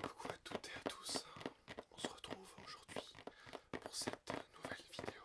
Coucou à toutes et à tous, on se retrouve aujourd'hui pour cette nouvelle vidéo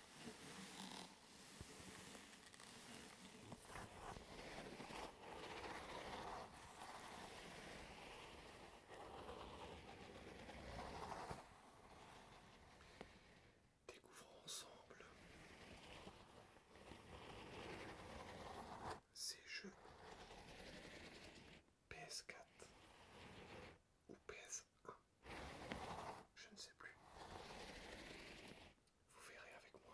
Découvrons ensemble ces jeux PS4 ou PS1. Je ne sais plus. Vous verrez avec moi.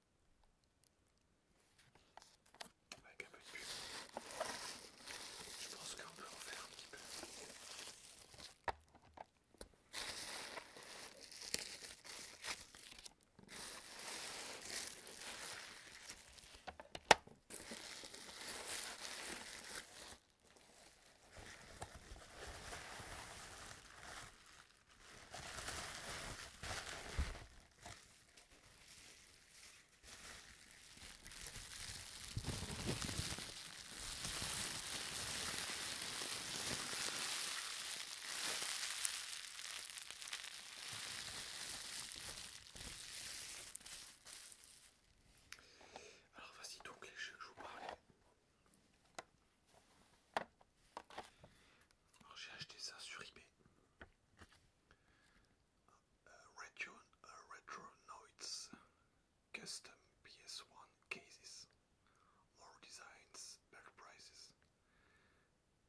Avec un peu de pub. Je pense qu'on peut en faire un petit peu. Alors voici donc les jeux que je vous parlais. j'ai acheté ça sur eBay. Retro, Retronoids custom PS1 cases, more designs, better prices.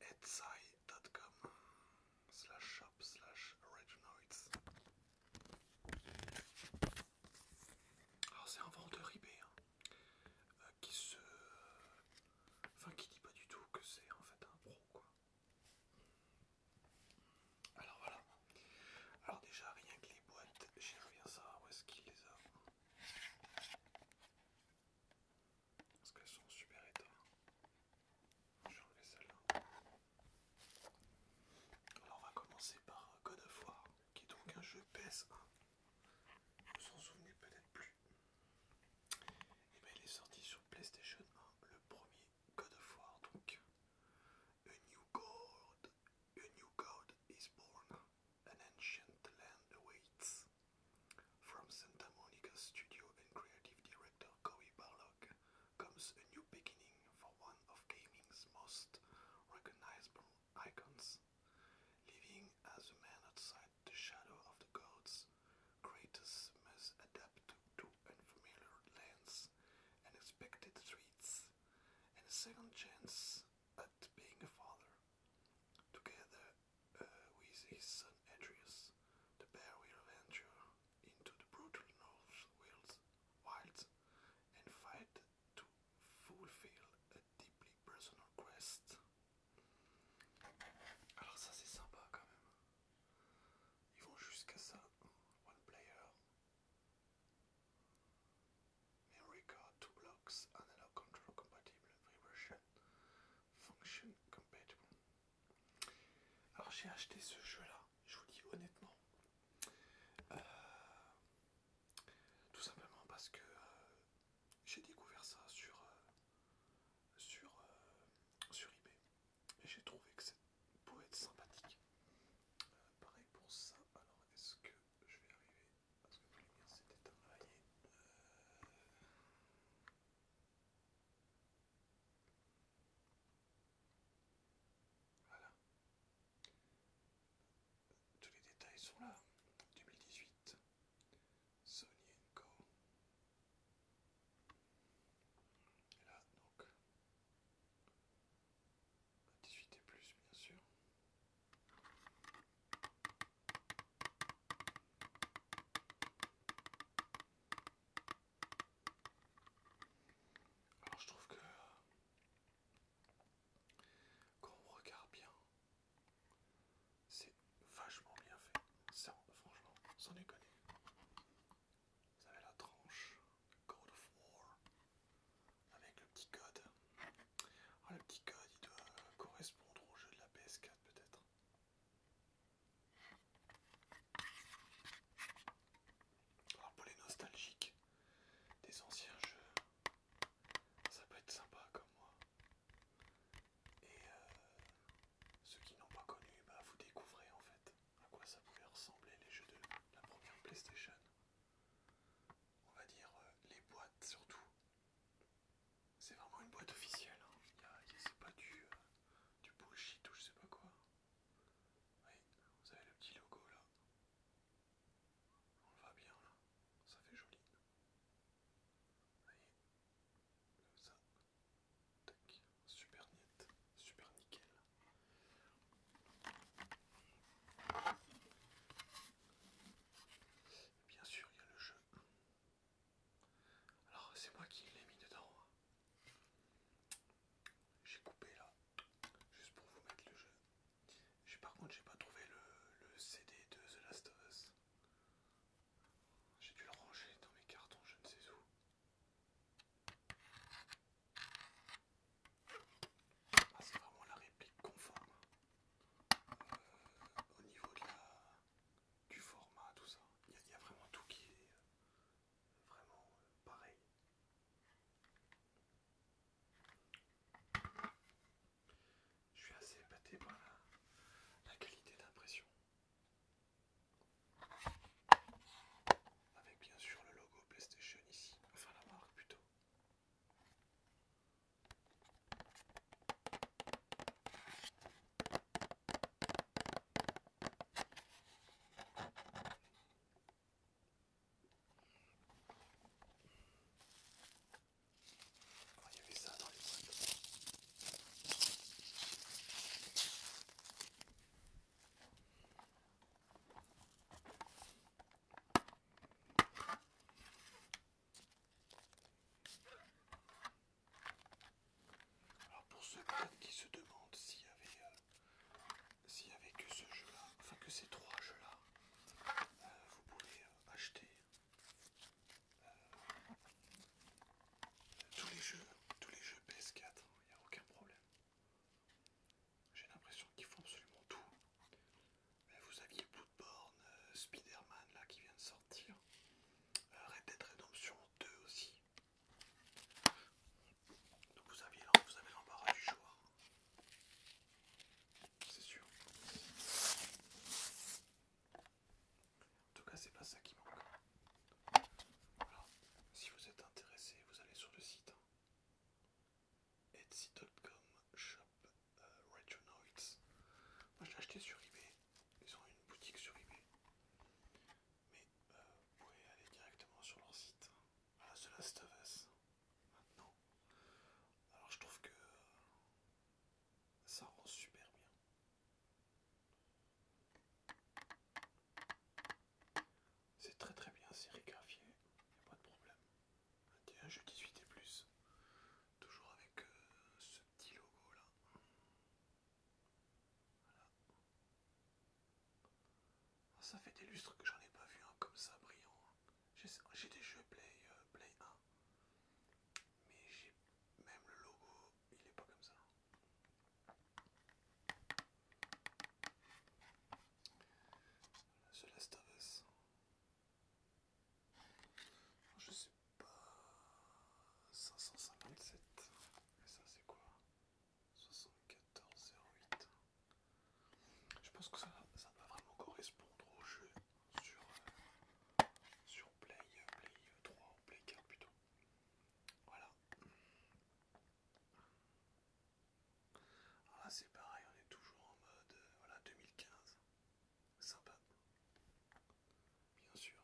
Etsy.com slash shop slash Retronoids. Alors c'est un vendeur eBay hein, euh, qui se, enfin qui dit pas du tout que c'est en fait un pro quoi. Alors voilà. Alors déjà rien que les boîtes, j'ai bien ça, où est-ce qu'il les a. Parce qu'elles sont super étonnantes, Je vais enlever celle-là. Alors on va commencer par euh, God of War, qui est donc un jeu PS1. Vous en souvenez peut-être plus. plus. Et eh bien, il PlayStation 1, le premier God of War, A New God, is born, an ancient land awaits. From Santa Monica studio and creative director Cory Barlog comes a new beginning for one of gaming's most recognizable icons. Living as a man outside the shadow of the gods, Kratos must adapt to unfamiliar lands, unexpected streets, and a second chance at being a father. Together uh, with his son Atreus, the pair will venture into the brutal North Wilds and fight to fulfill a deeply personal quest Alors ça c'est sympa quand même. Ils vont jusqu'à ça. One player. America, 2 blocks, analog control compatible, version, function compatible. Alors j'ai acheté ce jeu là, je vous dis honnêtement. Euh, tout simplement parce que euh, j'ai découvert ça sur euh, sur, euh, sur eBay. Et j'ai trouvé que ça pouvait être sympathique. Euh, pareil pour ça. Alors, est-ce que je vais arriver ce que la lumière s'est c'était Voilà. Tous les détails sont là. 2018. Sony Co là, donc, 18 et plus, bien sûr. Alors je trouve que quand on regarde bien, c'est vachement bien fait. Ça, franchement, sans est Vous avez la tranche Code of War avec le petit code. Ah, le petit code, il doit correspondre au jeu de la PS4 peut-être. Alors pour les nostalgiques des anciens jeux, ça peut être sympa comme moi. Et euh, ceux qui n'ont pas connu, bah vous découvrez en fait à quoi ça pouvait ressembler les jeux de la première PlayStation. On va dire euh, les boîtes surtout. C'est vraiment une boîte officielle, hein. c'est pas euh, du, bullshit ou je sais pas quoi. vous avez le petit logo là. On le voit bien là, ça fait joli. comme ça, super net, super nickel. bien sûr, il y a le jeu. Alors, c'est moi qui l'ai mis dedans. Hein. J'ai coupé là, juste pour vous mettre le jeu. Par contre, j'ai pas trouvé le, le CD de The Last of Us. J'ai dû le ranger dans mes cartons, je ne sais où. Ah, c'est vraiment la réplique conforme euh, au niveau du format, tout ça. Il y, a vraiment tout qui est euh, vraiment euh, pareil. Je suis assez épaté par la qualité d'impression. Avec bien sûr le logo PlayStation ici, enfin la marque plutôt. Alors pour ceux qui se demandent s'il y avait euh, s'il avait que ce jeu là, enfin que ces trois jeux là, euh, vous pouvez euh, acheter tous les jeux, tous les jeux PS4, il n'y a aucun problème. J'ai l'impression qu'ils font absolument tout. Vous aviez Bloodborne, euh, Spider-Man là qui vient de sortir. Euh, Red Dead Redemption 2 aussi. Donc vous aviez vous avez l'embarras du choix. C'est sûr. En tout cas, c'est pas ça qui manque. Voilà. Si vous êtes intéressé, vous allez sur le site hein. etsy.com shop euh, Moi, je l'ai acheté sur eBay. Ils ont une boutique sur eBay. Mais euh, vous pouvez aller directement sur leur site. Voilà, hein. The Last of Maintenant. Alors, je trouve que euh, ça rend super bien. C'est très très bien sérigraphié, il a pas de problème. je jeu 18 et plus, toujours avec euh, ce petit logo là. Ah, ça fait des lustres que j'en ai pas vu un comme ça brillant. J'ai des jeux Play, euh, Play 1, mais j'ai même le logo, il est pas comme ça. Celeste Last Je sais pas. 557. Et ça c'est quoi 7408. Je pense que ça, ça va vraiment correspondre au jeu sur, euh, sur Play, Play 3 ou Play 4 plutôt. Voilà. Alors là c'est pareil, on est toujours en mode 2015. Euh, Sympa. Bien sûr.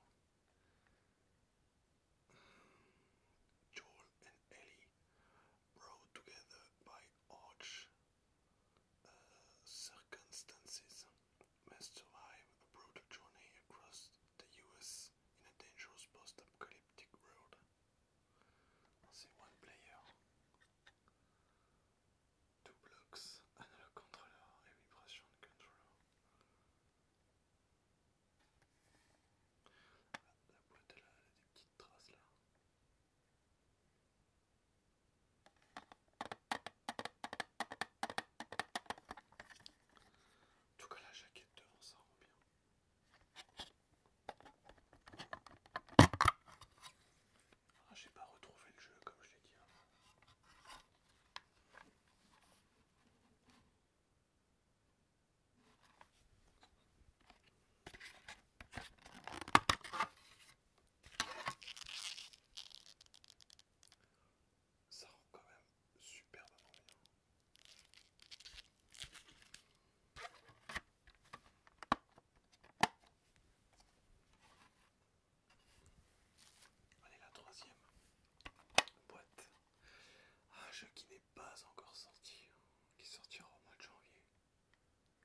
Joel and Ellie brought together by arch uh, circumstances must survive a brutal journey across the US in a dangerous post-apocalyptic world. C'est one player. Two blocks, analog controller et vibration controller. Ah, la boîte elle a des petites traces là. En tout cas, la jaquette devant ça rend bien. Ah, j'ai pas retrouvé le jeu comme je l'ai dit avant ça rend quand même super bien. Allez, la troisième boîte. Un ah, jeu qui n'est pas encore sorti, qui sortira au mois de janvier,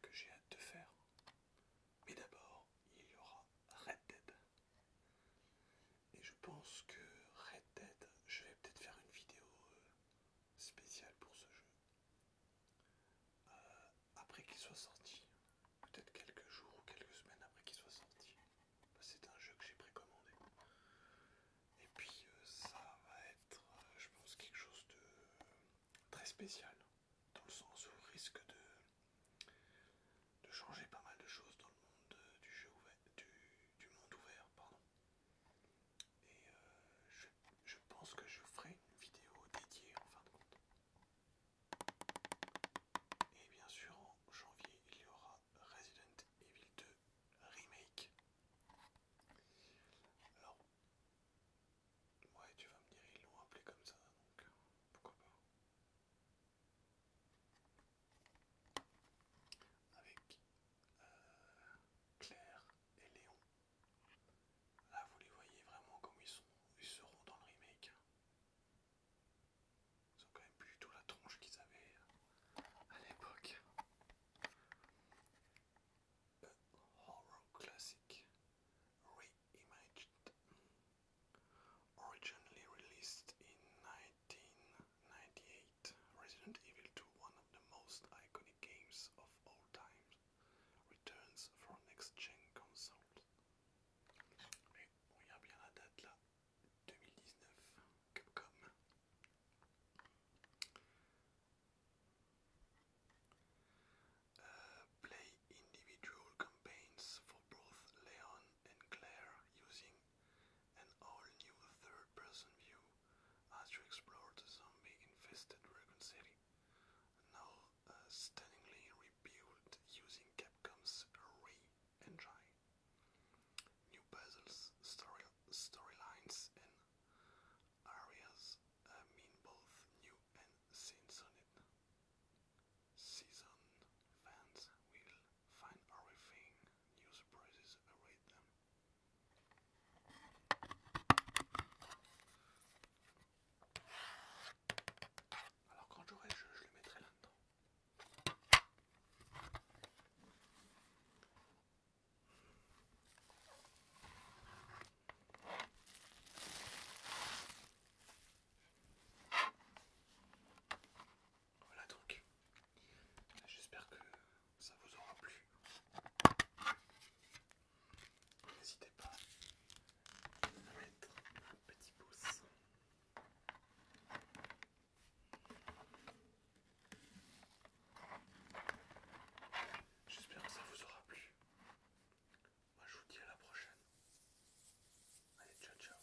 que j'ai hâte de faire. Mais d'abord, il y aura Red Dead. Et je pense que Red Dead, je vais peut-être faire une vidéo euh, spéciale pour ce jeu. Euh, après qu'il soit sorti, peut-être quelques jours ou quelques semaines après qu'il soit sorti. Bah, c'est un jeu que j'ai précommandé. Et puis euh, ça va être, je pense, quelque chose de très spécial. Dans le sens où risque de, de changer pas mal de choses dans le monde du, jeu ouvert, du monde ouvert. Pardon. Et euh, je, je pense que je ferai une vidéo dédiée en fin de compte. Et bien sûr, en janvier, il y aura Resident Evil 2 Remake. Alors, ouais, tu vas me dire, ils l'ont appelé comme ça, donc pourquoi pas avec euh, Claire et Léon. Là, vous les voyez vraiment comme ils, sont, seront dans le remake. Ils ont quand même plus du tout la tronche qu'ils avaient euh, à l'époque. Euh, horror Classic Reimagined. Originally released in 1998, Resident Evil 2, one of the most iconic games of all time, returns for next-gen consoles. Mais on regarde date là, 2019, Capcom. Euh, play individual campaigns for both Leon and Claire using an all-new third-person view as you explore the zombie-infested Dragon City, now uh, stunningly rebuilt using Capcom's Re-engine. New puzzles, storylines, and areas uh, mean both new and seasoned. Seasoned fans will find everything new surprises await them. Alors quand j'aurai jeu, je le mettrai là-dedans. Voilà donc. J'espère que ça vous aura plu. N'hésitez pas à mettre un petit pouce. J'espère que ça vous aura plu. Moi je vous dis à la prochaine. Allez, ciao ciao.